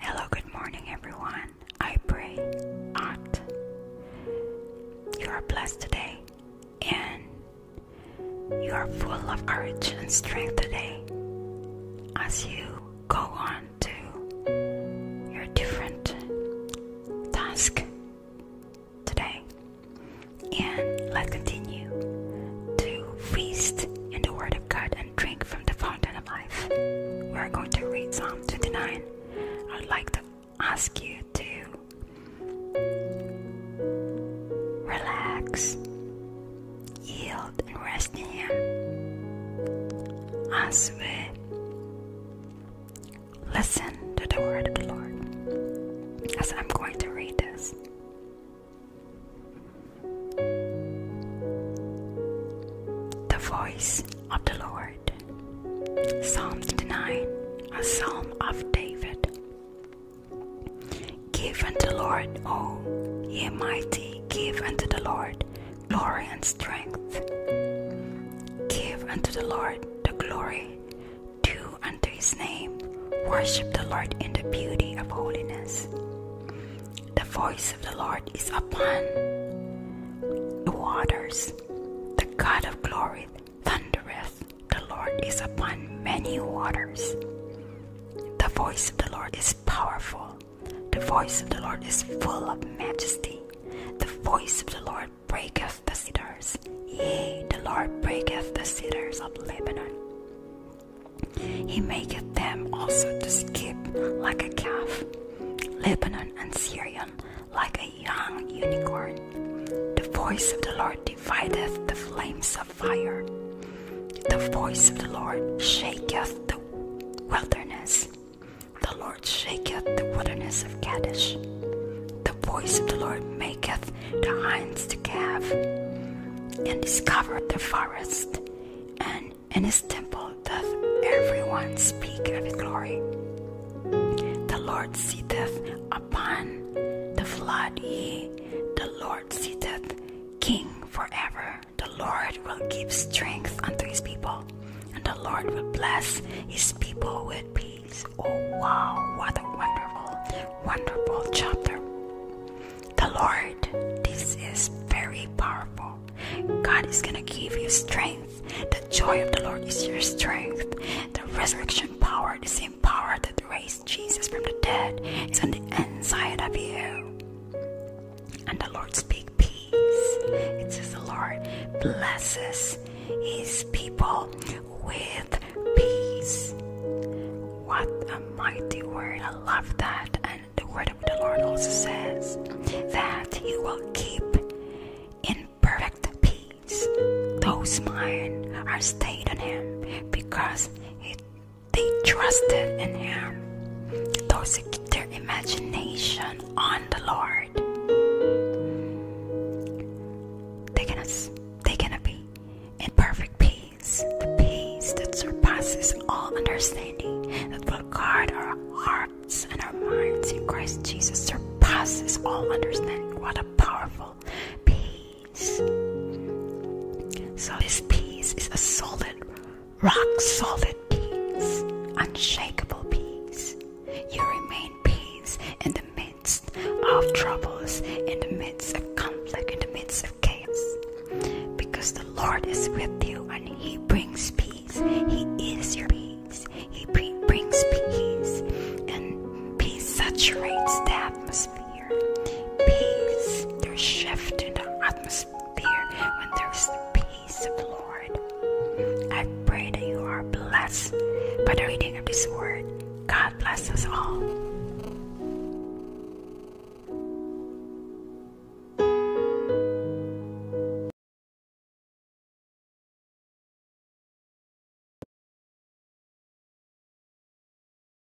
Hello, good morning, everyone. I pray, Aunt, you are blessed today and you are full of courage and strength today as you go on to your different task today and let's continue to feast in the word of God and drink from the fountain of life. We're going to read Psalm 29. I'd like to ask you to relax yield and rest in Him. I Listen to the word of the Lord as I'm going to read this. The voice of the Lord. Psalm 9, a psalm of David. Give unto the Lord, all ye mighty, give unto the Lord glory and strength. Give unto the Lord the glory due unto his name. Worship the Lord in the beauty of holiness. The voice of the Lord is upon the waters. The God of glory thundereth. The Lord is upon many waters. The voice of the Lord is powerful. The voice of the Lord is full of majesty. The voice of the Lord breaketh the cedars. Yea, the Lord breaketh the cedars of Lebanon. He maketh them also to skip like a calf, Lebanon and Syrian like a young unicorn. The voice of the Lord divideth the flames fire. The voice of the Lord shaketh the wilderness. The Lord shaketh the wilderness of Kadesh. The voice of the Lord maketh the hinds to calve, and discovereth the forest, and in his temple doth everyone speak of his glory. The Lord sitteth upon the flood, Ye, the Lord sitteth king forever the Lord will give strength unto his people, and the Lord will bless his people with peace. Oh, wow, what a wonderful, wonderful chapter. The Lord, this is very powerful. God is going to give you strength. The joy of the Lord is your strength. The resurrection power, the same power that raised Jesus from the dead is on the inside of you. And the Lord speak peace. It says the Lord blesses his people with peace. What a mighty word. I love that. And the word of the Lord also says that he will keep in perfect peace those mine are stayed on him because he they trusted in Him. Those who keep their imagination on the Lord, they're gonna, they're gonna be in perfect peace, the peace that surpasses all understanding, that will guard our hearts and our minds in Christ Jesus, surpasses all understanding. What a powerful peace! So this peas is a solid, rock solid peas, unshakable peas. You remain peace in the midst of troubles, in the midst of conflict, in the midst of chaos. Because the Lord is with you and He brings peace. He is your peace. He brings peace. And peace saturates the atmosphere. Peace. There's shift in the atmosphere when there's the peace of the Lord. I pray that you are blessed by the reading of this word. God bless us all.